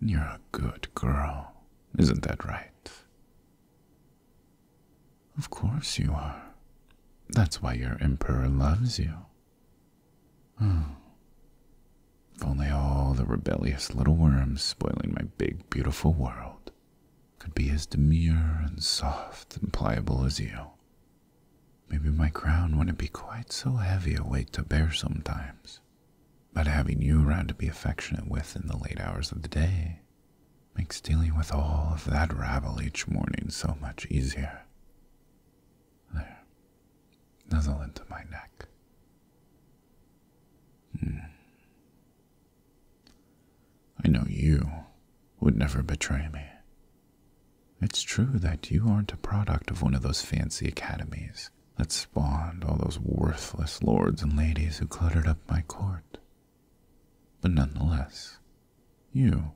[SPEAKER 1] You're a good girl, isn't that right? Of course you are. That's why your emperor loves you. Oh. If only all the rebellious little worms spoiling my big, beautiful world could be as demure and soft and pliable as you. Maybe my crown wouldn't be quite so heavy a weight to bear sometimes. But having you around to be affectionate with in the late hours of the day makes dealing with all of that rabble each morning so much easier. There, nuzzle into my neck. Hmm. I know you would never betray me. It's true that you aren't a product of one of those fancy academies that spawned all those worthless lords and ladies who cluttered up my court but none the less, you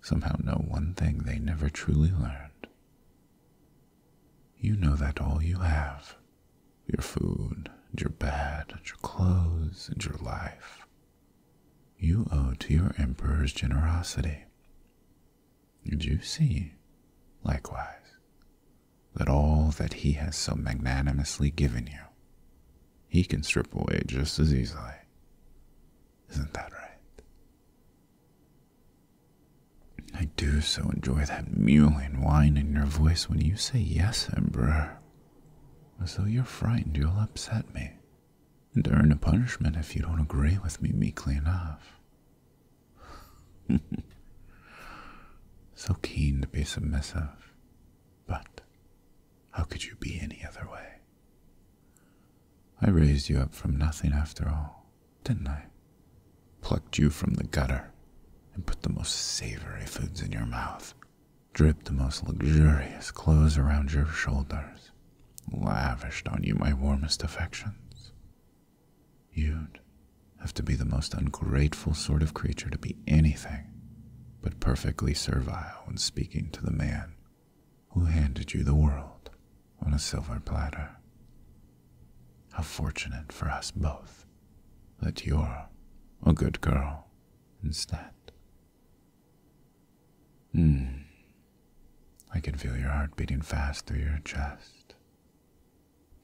[SPEAKER 1] somehow know one thing they never truly learned. You know that all you have, your food, your bed, your clothes, and your life, you owe to your emperor's generosity. And you see, likewise, that all that he has so magnanimously given you, he can strip away just as easily. Isn't that right? I do so enjoy that mewling whine in your voice when you say yes, Emperor, as though you're frightened you'll upset me and earn a punishment if you don't agree with me meekly enough. so keen to be submissive, but how could you be any other way? I raised you up from nothing after all, didn't I? Plucked you from the gutter and put the most savory foods in your mouth, dripped the most luxurious clothes around your shoulders, lavished on you my warmest affections. You'd have to be the most ungrateful sort of creature to be anything but perfectly servile when speaking to the man who handed you the world on a silver platter. How fortunate for us both that you're a good girl instead. Hmm. I can feel your heart beating fast through your chest.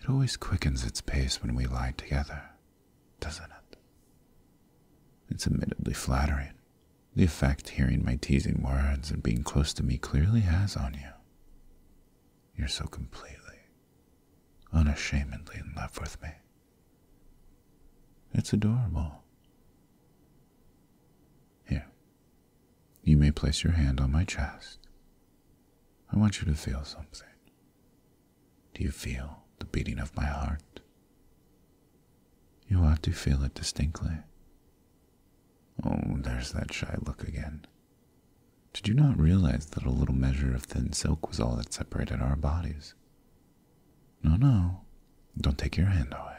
[SPEAKER 1] It always quickens its pace when we lie together, doesn't it? It's admittedly flattering. The effect hearing my teasing words and being close to me clearly has on you. You're so completely, unashamedly in love with me. It's adorable. Here, you may place your hand on my chest. I want you to feel something. Do you feel the beating of my heart? You ought to feel it distinctly. Oh, there's that shy look again. Did you not realize that a little measure of thin silk was all that separated our bodies? No, no, don't take your hand away.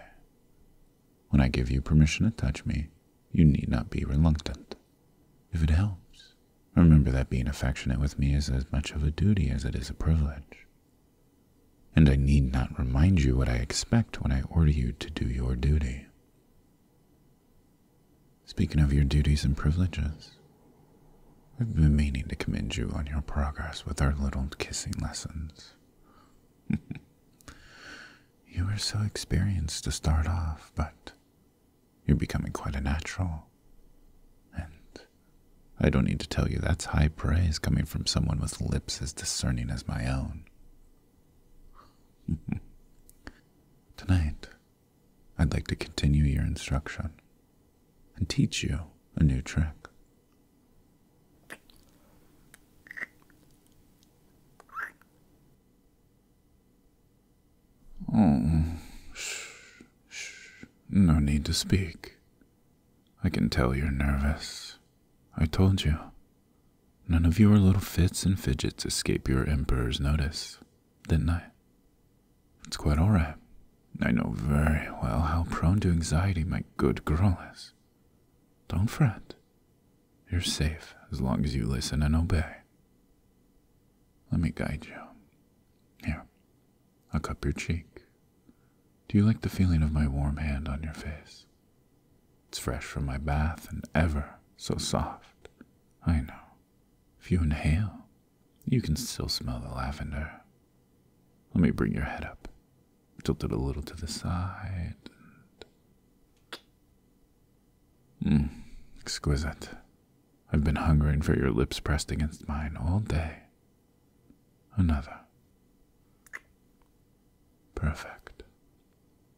[SPEAKER 1] When I give you permission to touch me, you need not be reluctant. If it helps, remember that being affectionate with me is as much of a duty as it is a privilege. And I need not remind you what I expect when I order you to do your duty. Speaking of your duties and privileges, I've been meaning to commend you on your progress with our little kissing lessons. you were so inexperienced to start off, but you're becoming quite a natural. And I don't need to tell you that's high praise coming from someone with lips as discerning as my own. Tonight, I'd like to continue your instruction and teach you a new trick. Oh, shh. Shh, no need to speak. I can tell you're nervous. I told you. None of your little fits and fidgets escape your emperor's notice, didn't I? It's quite alright. I know very well how prone to anxiety my good girl is. Don't fret. You're safe as long as you listen and obey. Let me guide you. Here, Look cup your cheek. Do you like the feeling of my warm hand on your face? It's fresh from my bath and ever so soft. I know. If you inhale, you can still smell the lavender. Let me bring your head up. Tilt it a little to the side. Mmm, exquisite. I've been hungering for your lips pressed against mine all day. Another. Perfect.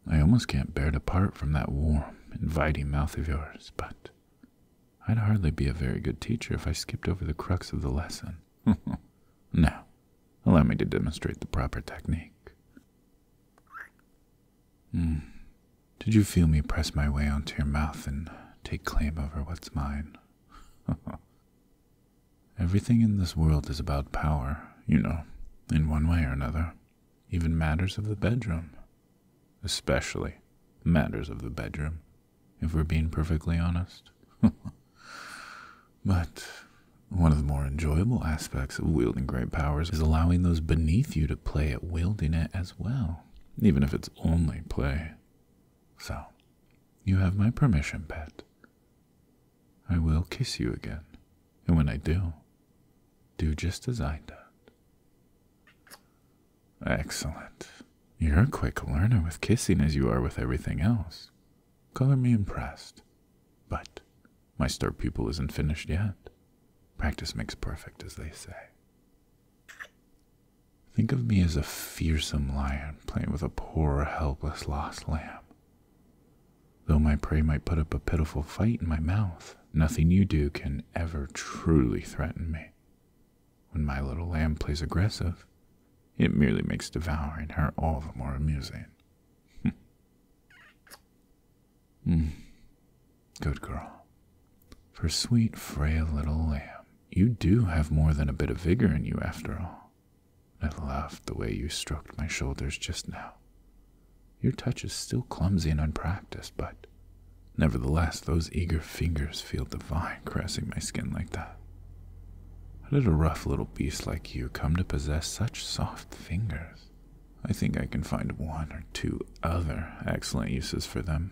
[SPEAKER 1] I almost can't bear to part from that warm, inviting mouth of yours, but I'd hardly be a very good teacher if I skipped over the crux of the lesson. now, allow me to demonstrate the proper technique. Hmm. Did you feel me press my way onto your mouth and take claim over what's mine? Everything in this world is about power, you know, in one way or another. Even matters of the bedroom. Especially matters of the bedroom, if we're being perfectly honest. but one of the more enjoyable aspects of wielding great powers is allowing those beneath you to play at wielding it as well, even if it's only play. So, you have my permission, pet. I will kiss you again, and when I do, do just as I did. Excellent. You're a quick learner with kissing as you are with everything else. Color me impressed. But my star pupil isn't finished yet. Practice makes perfect, as they say. Think of me as a fearsome lion playing with a poor, helpless, lost lamb. Though my prey might put up a pitiful fight in my mouth, nothing you do can ever truly threaten me. When my little lamb plays aggressive, it merely makes devouring her all the more amusing. Hmm. Hmm. Good girl. For sweet, frail little lamb, you do have more than a bit of vigor in you, after all. I loved the way you stroked my shoulders just now. Your touch is still clumsy and unpracticed, but nevertheless, those eager fingers feel divine caressing my skin like that. How did a rough little beast like you come to possess such soft fingers? I think I can find one or two other excellent uses for them.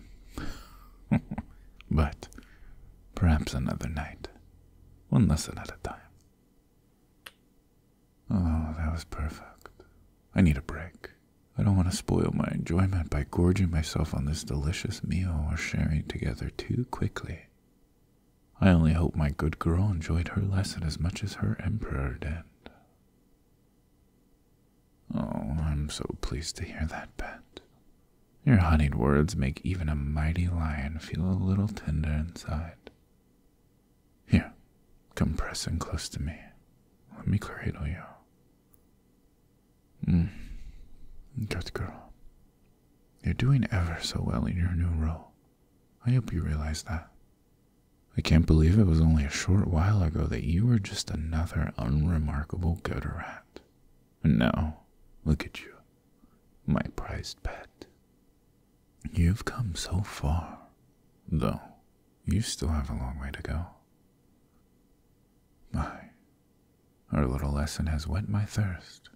[SPEAKER 1] but Perhaps another night. One lesson at a time. Oh, that was perfect. I need a break. I don't want to spoil my enjoyment by gorging myself on this delicious meal or sharing together too quickly. I only hope my good girl enjoyed her lesson as much as her emperor did. Oh, I'm so pleased to hear that, Pet. Your honeyed words make even a mighty lion feel a little tender inside. Here, come press in close to me. Let me cradle you. Mm. Good girl. You're doing ever so well in your new role. I hope you realize that. I can't believe it was only a short while ago that you were just another unremarkable good rat. And now, look at you, my prized pet. You've come so far, though you still have a long way to go. My, our little lesson has whet my thirst.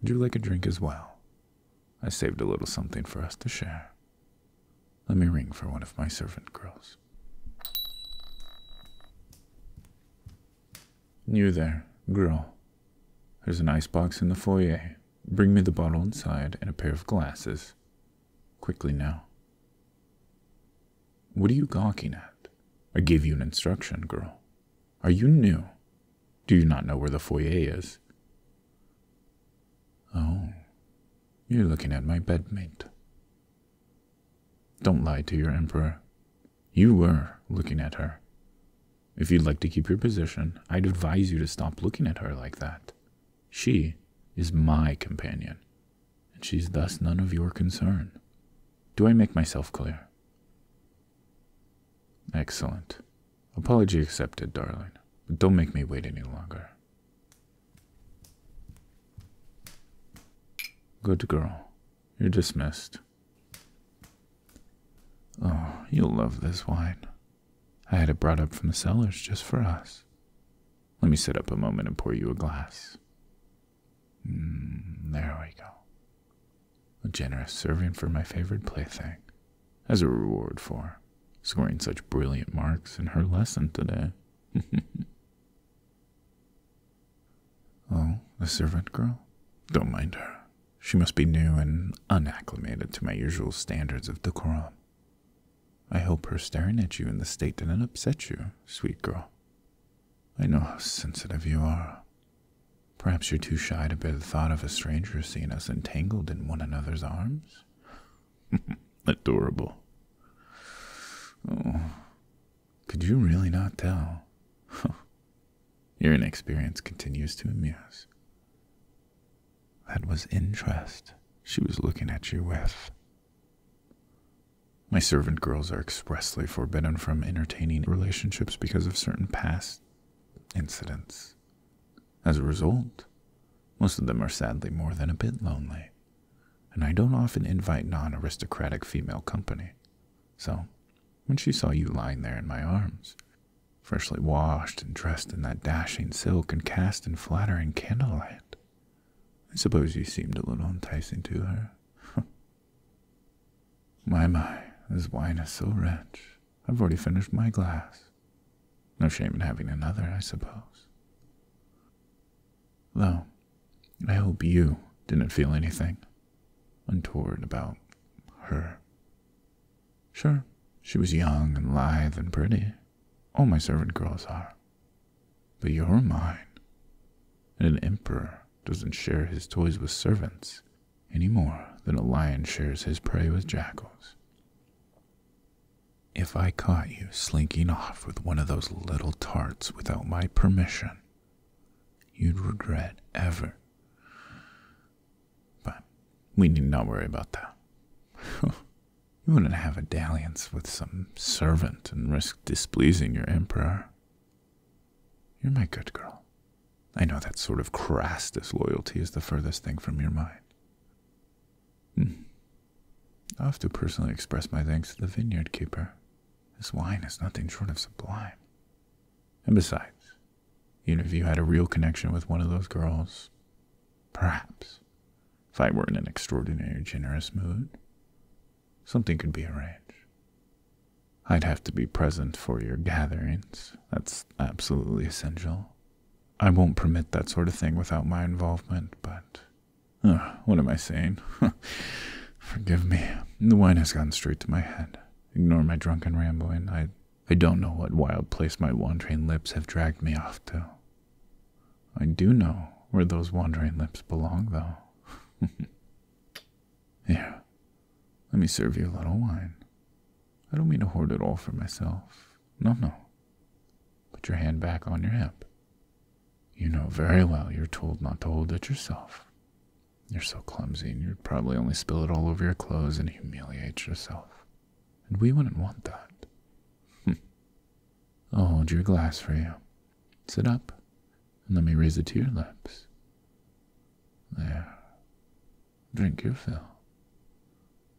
[SPEAKER 1] Would you like a drink as well? I saved a little something for us to share. Let me ring for one of my servant girls. You there, girl. There's an ice box in the foyer. Bring me the bottle inside and a pair of glasses. Quickly now. What are you gawking at? I gave you an instruction, girl. Are you new? Do you not know where the foyer is? Oh, you're looking at my bedmate. Don't lie to your emperor. You were looking at her. If you'd like to keep your position, I'd advise you to stop looking at her like that. She is my companion, and she's thus none of your concern. Do I make myself clear? Excellent. Apology accepted, darling. But don't make me wait any longer. Good girl. You're dismissed. Oh, you'll love this wine. I had it brought up from the cellars just for us. Let me sit up a moment and pour you a glass. Mm, there we go. A generous serving for my favorite plaything, as a reward for scoring such brilliant marks in her lesson today. Oh, a servant girl? Don't mind her. She must be new and unacclimated to my usual standards of decorum. I hope her staring at you in the state didn't upset you, sweet girl. I know how sensitive you are. Perhaps you're too shy to bear the thought of a stranger seeing us entangled in one another's arms? Adorable. Oh, could you really not tell? Your inexperience continues to amuse. That was interest she was looking at you with. My servant girls are expressly forbidden from entertaining relationships because of certain past incidents. As a result, most of them are sadly more than a bit lonely, and I don't often invite non aristocratic female company, so when she saw you lying there in my arms, freshly washed and dressed in that dashing silk and cast in flattering candlelight. I suppose you seemed a little enticing to her. my, my, this wine is so rich. I've already finished my glass. No shame in having another, I suppose. Though, I hope you didn't feel anything untoward about her. Sure, she was young and lithe and pretty. All my servant girls are. But you're mine. And an emperor doesn't share his toys with servants any more than a lion shares his prey with jackals. If I caught you slinking off with one of those little tarts without my permission, you'd regret ever. But we need not worry about that. you wouldn't have a dalliance with some servant and risk displeasing your emperor. You're my good girl. I know that sort of crass disloyalty is the furthest thing from your mind. Hmm. I'll have to personally express my thanks to the vineyard keeper. This wine is nothing short of sublime. And besides, even if you had a real connection with one of those girls, perhaps, if I were in an extraordinary generous mood, something could be arranged. I'd have to be present for your gatherings. That's absolutely essential. I won't permit that sort of thing without my involvement, but. what am I saying? Forgive me. The wine has gone straight to my head. Ignore my drunken rambling. I, I don't know what wild place my wandering lips have dragged me off to. I do know where those wandering lips belong, though. Here, let me serve you a little wine. I don't mean to hoard it all for myself. No, no. Put your hand back on your hip. You know very well you're told not to hold it yourself. You're so clumsy, and you'd probably only spill it all over your clothes and humiliate yourself. And we wouldn't want that. Hmm. I'll hold your glass for you. Sit up, and let me raise it to your lips. There. Drink your fill.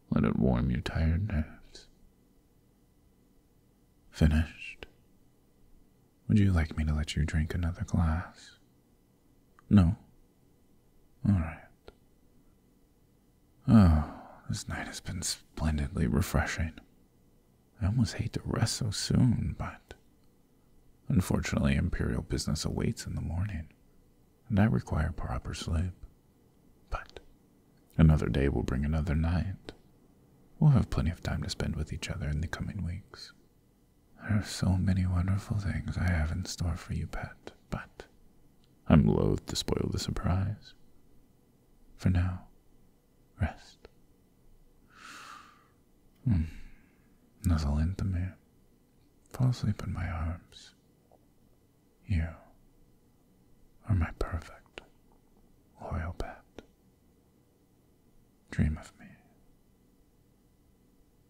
[SPEAKER 1] Let it warm your tired nerves. Finished? Would you like me to let you drink another glass? No. Alright. Oh, this night has been splendidly refreshing. I almost hate to rest so soon, but unfortunately, Imperial business awaits in the morning, and I require proper sleep. But another day will bring another night. We'll have plenty of time to spend with each other in the coming weeks. There are so many wonderful things I have in store for you, pet, but I'm loath to spoil the surprise. For now, rest. Hmm. Nuzzle into me. Fall asleep in my arms. You are my perfect, loyal pet. Dream of me.